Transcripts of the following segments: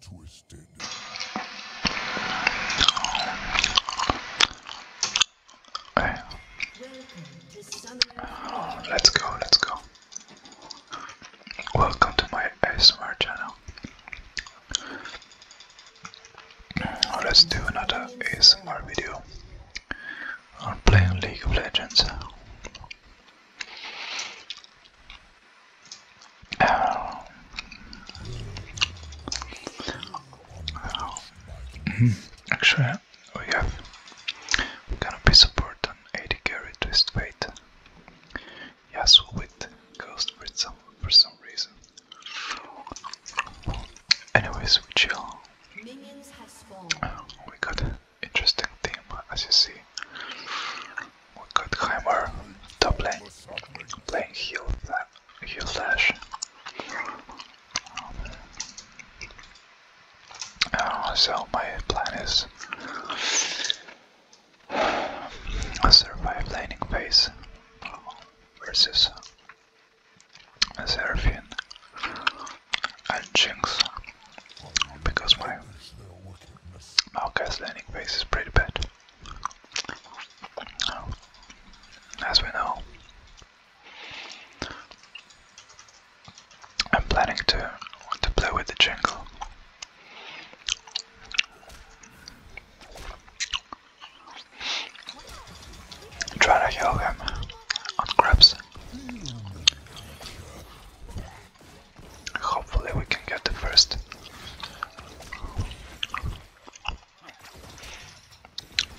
twisted. Okay. let's go, let's go. Welcome to my ASMR channel. let's do another ASMR video on playing League of Legends. Um, actually, we have gonna be support on 80 carry twist weight. Yes, with ghost for some for some reason. Anyways, we chill. Uh, we got interesting team, as you see we got Hammer, top lane, playing heal, heal Flash. Oh, so my plan is a survive laning phase versus a Seraphine and Jinx because my Maoka's landing phase is pretty bad. As we know, I'm planning to to play with the jungle. Try to heal him on grabs. Hopefully we can get the first.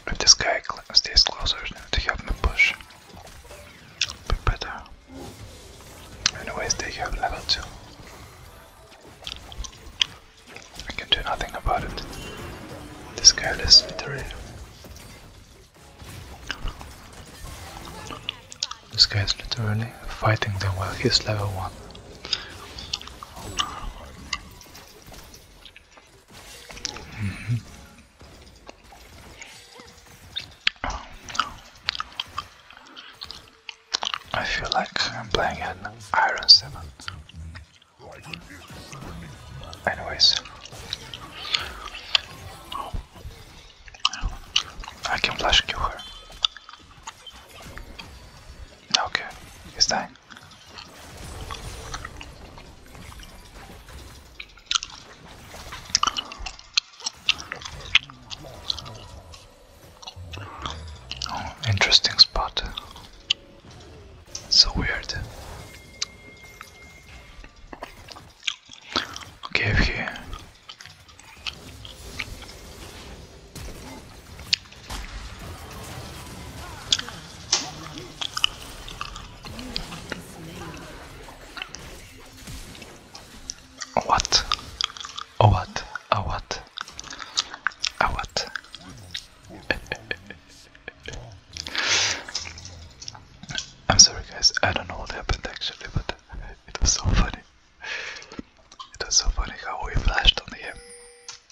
If this guy cl stays closer to help me push, better. Anyways, they have level 2. I can do nothing about it. This guy is literally this guy is literally fighting them while he's level 1. Mm-hmm. I feel like I'm playing an Iron 7. Anyways. I can flash kill her. Okay, it's time. Oh, interesting spot. So weird. Okay, okay. What? Oh what? Oh what? Oh what? I'm sorry guys, I don't know what happened actually, but it was so funny. It was so funny how we flashed on him.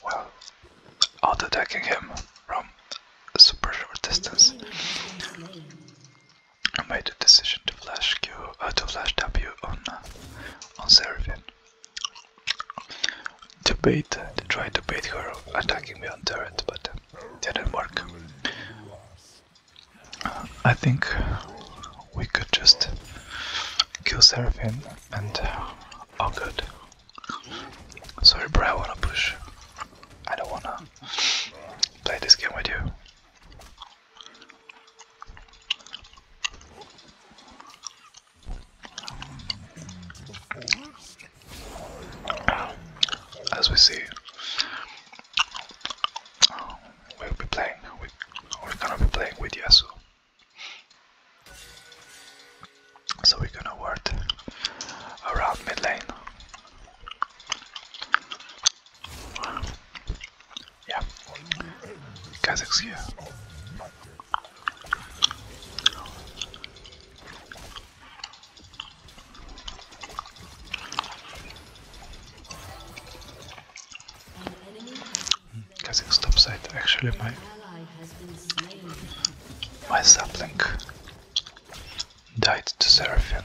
Well, after attacking him from a super short distance. I made a decision to flash Q, uh, to flash W on uh, on Seraphine. To bait, to try to bait her attacking me on turret, but didn't work. I think we could just kill Seraphim and uh, all good. Sorry, bro, I wanna push. I don't wanna play this game with you. As we see, we'll be playing we're gonna be playing with Yasuo. So we're gonna work around mid lane. Yeah, Kazakh's here. Casting stop side actually my my sapling died to Seraphim.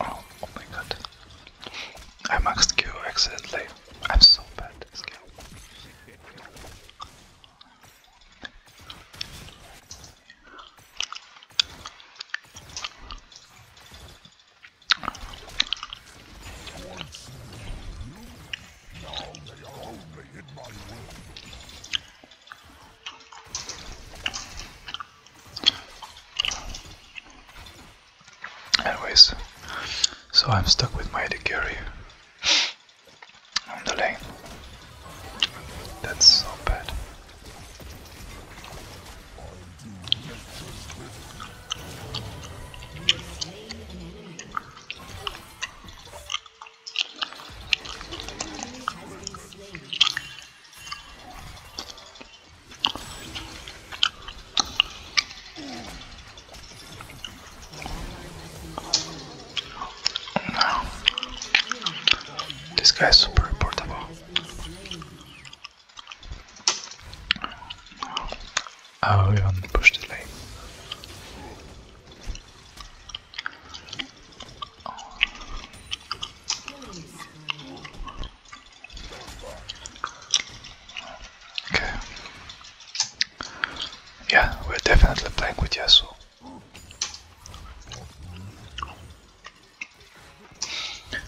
Oh, oh my god. I maxed Q accidentally. I'm so bad at this game. Anyways, so I'm stuck with my Edicary on the lane. That's so bad. Now, this guy is super portable. I will push the lane. Okay. Yeah, we're definitely playing with Yasuo.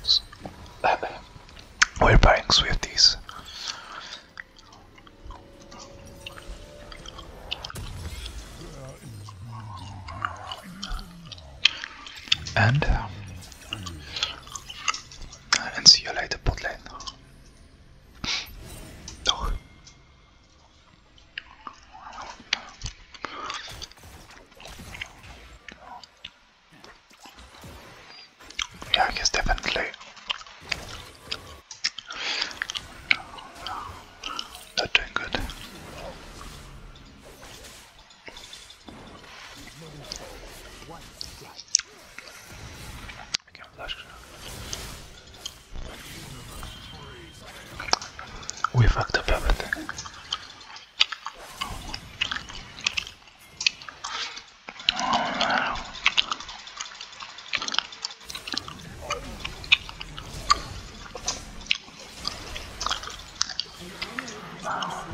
So, we're buying Swifties. And uh, and see you later, bot yeah, I definitely not doing good. We fucked up everything.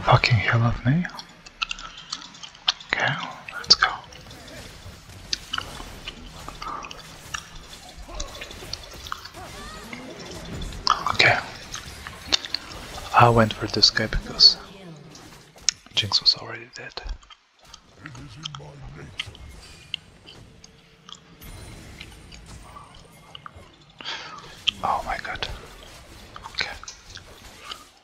fucking hell of me. Okay, let's go. Okay. I went for this guy because Jinx was already dead. Oh my god. Okay.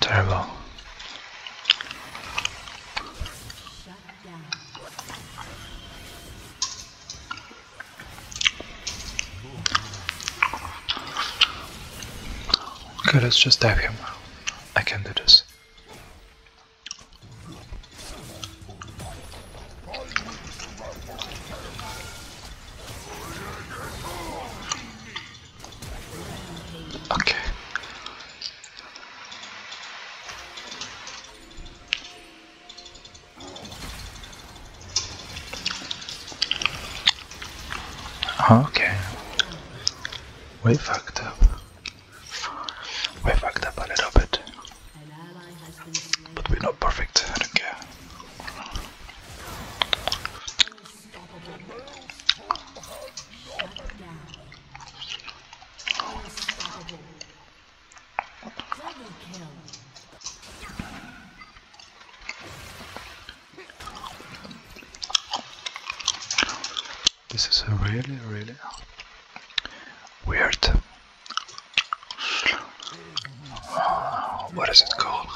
Terrible. Okay, let's just dive him. I can do this. Okay. Okay. We fucked up. We fucked up a little bit. But we're not perfect, I this is really, really weird. what is it called?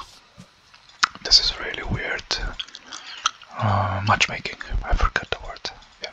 This is really weird uh, matchmaking. I forgot the word. Yeah.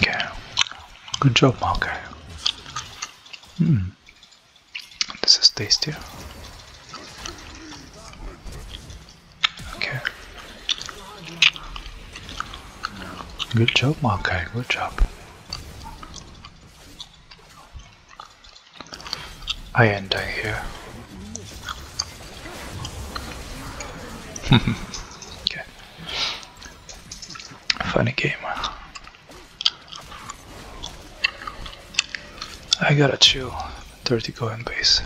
Okay. Good job, Malkai. Hmm. This is tastier. Okay. Good job, Malkai. Good job. I end here. okay. Funny game. I gotta chill. 30 coin base.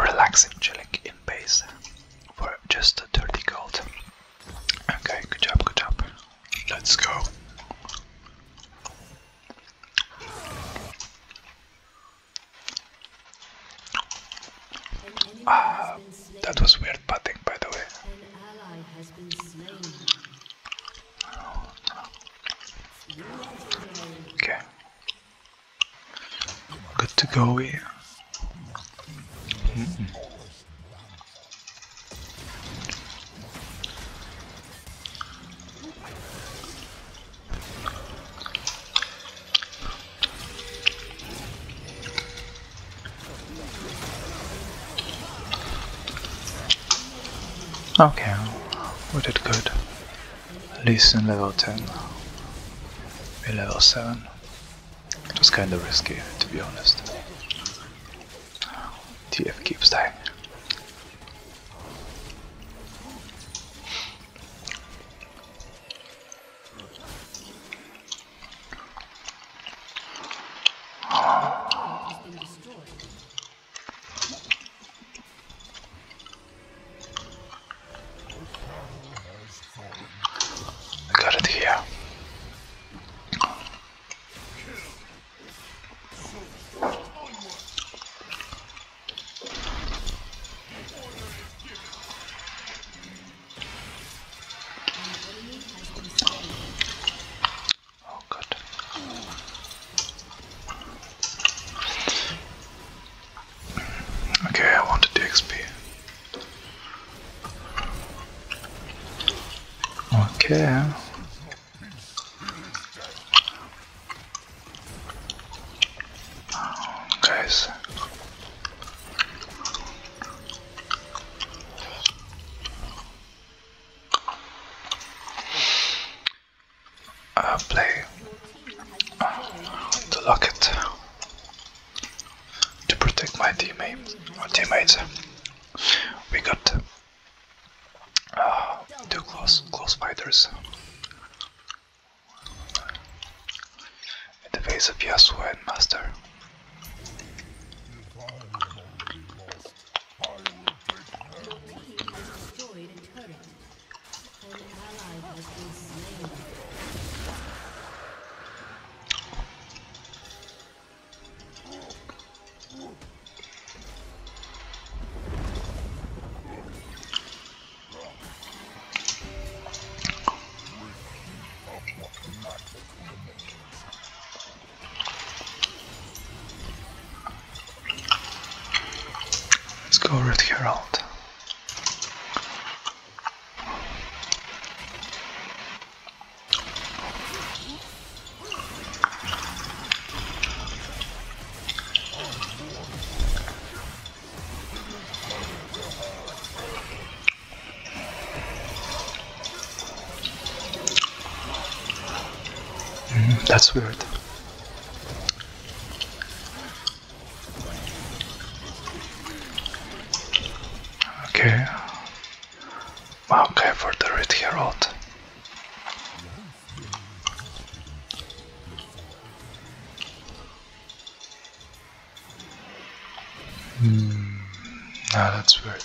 Relaxing chilling in base for just a 30 gold. Okay, good job, good job. Let's go. Ah, that was weird putting, by the way. Okay. Good to go here. Okay, we did good. At least in level 10. we level 7. Just kinda risky, to be honest. TF keeps dying. I got it here. Oh, good. Okay, I wanted the XP. Okay. guys. Uh, play the locket to protect my teammates. teammates. We got uh, two close close fighters. In the face of Yasuo and Master. Let's go with Herald. Mm, that's weird. Okay. Okay, for the red herald. Hmm. Ah, that's weird.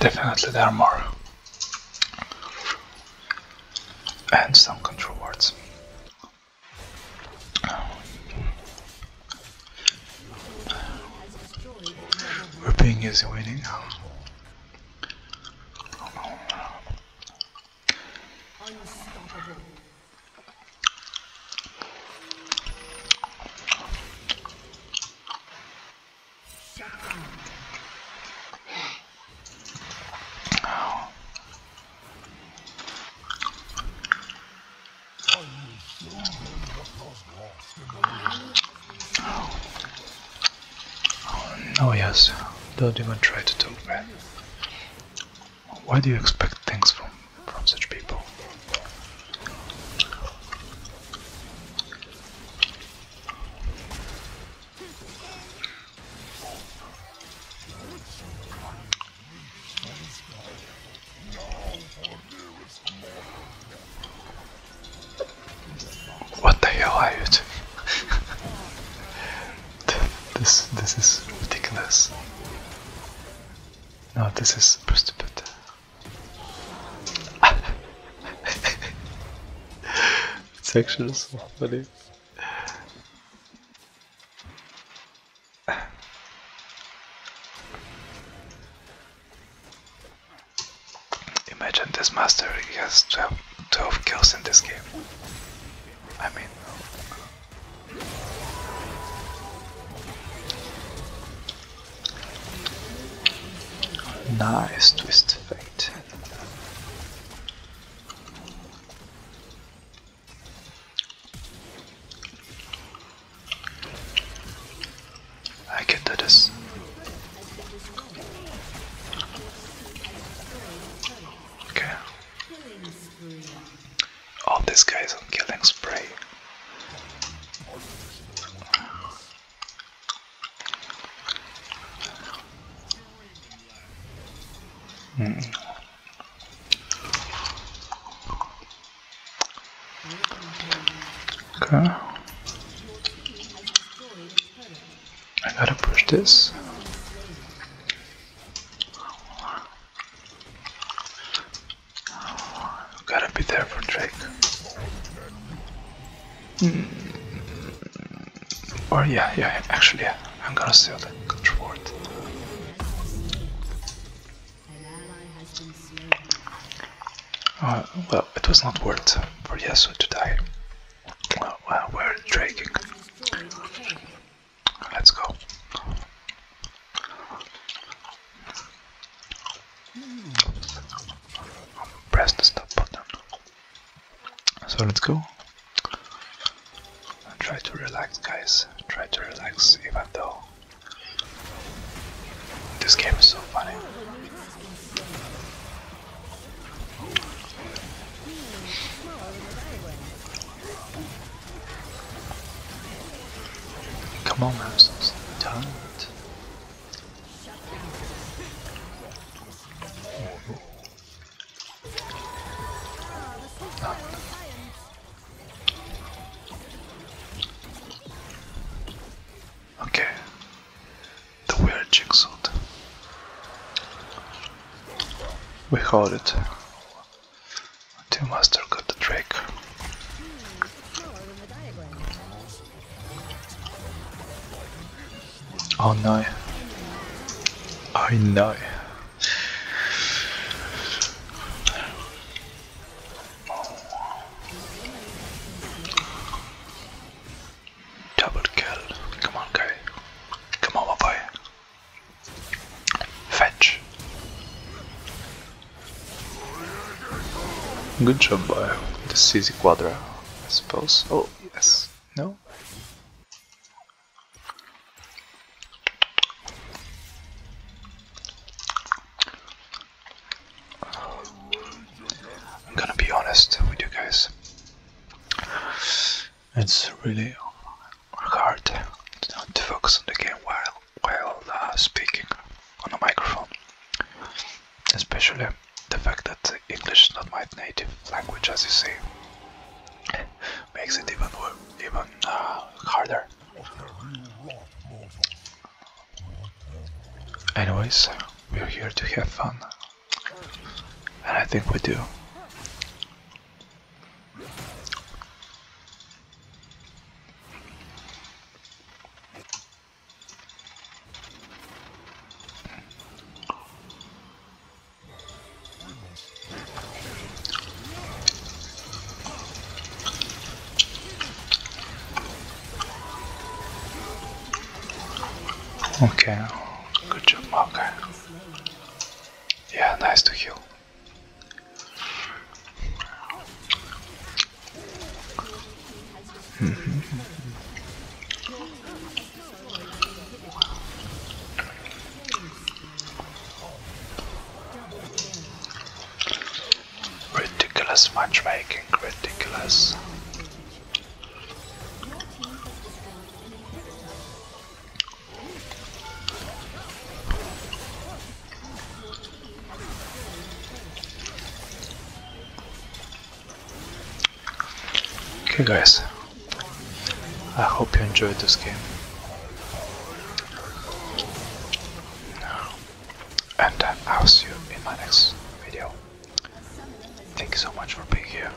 definitely there are more. And some control words. Whipping is winning. Oh yes, don't even try to talk me. Why do you expect things from, from such people? What the hell are you doing? this this is ridiculous. No, this is stupid it's actually so funny. Imagine this master he has 12, 12 kills in this game. I mean... Nice twist of fate. I get do this. Okay. All these guys on killing spray. Hmm. Okay. I gotta push this. You gotta be there for Drake. Mm. Or oh, yeah, yeah, actually, I'm gonna steal the reward. Uh, well, it was not worth for Yasuo to die. well, we're draking. Let's go. Press the stop button. So let's go. And try to relax, guys. Try to relax, even though this game is so funny. Come on, Moses. Don't. Oh. Okay. The weird jigsaw. We hold it. Two Master got the trick. Oh no. oh, no! Double kill. Come on, guy. Come on, boy. Fetch. Good job, Bio. This is Quadra, I suppose. Oh, yes. No? I'm gonna be honest with you guys. It's really hard to focus on the game while while uh, speaking on a microphone. Especially the fact that English is not my native language, as you see, makes it even even uh, harder. Anyways, we're here to have fun, and I think we do. Okay, good job, Mark. Yeah, nice to heal ridiculous matchmaking, ridiculous. Okay guys, I hope you enjoyed this game. And I'll see you in my next video. Thank you so much for being here.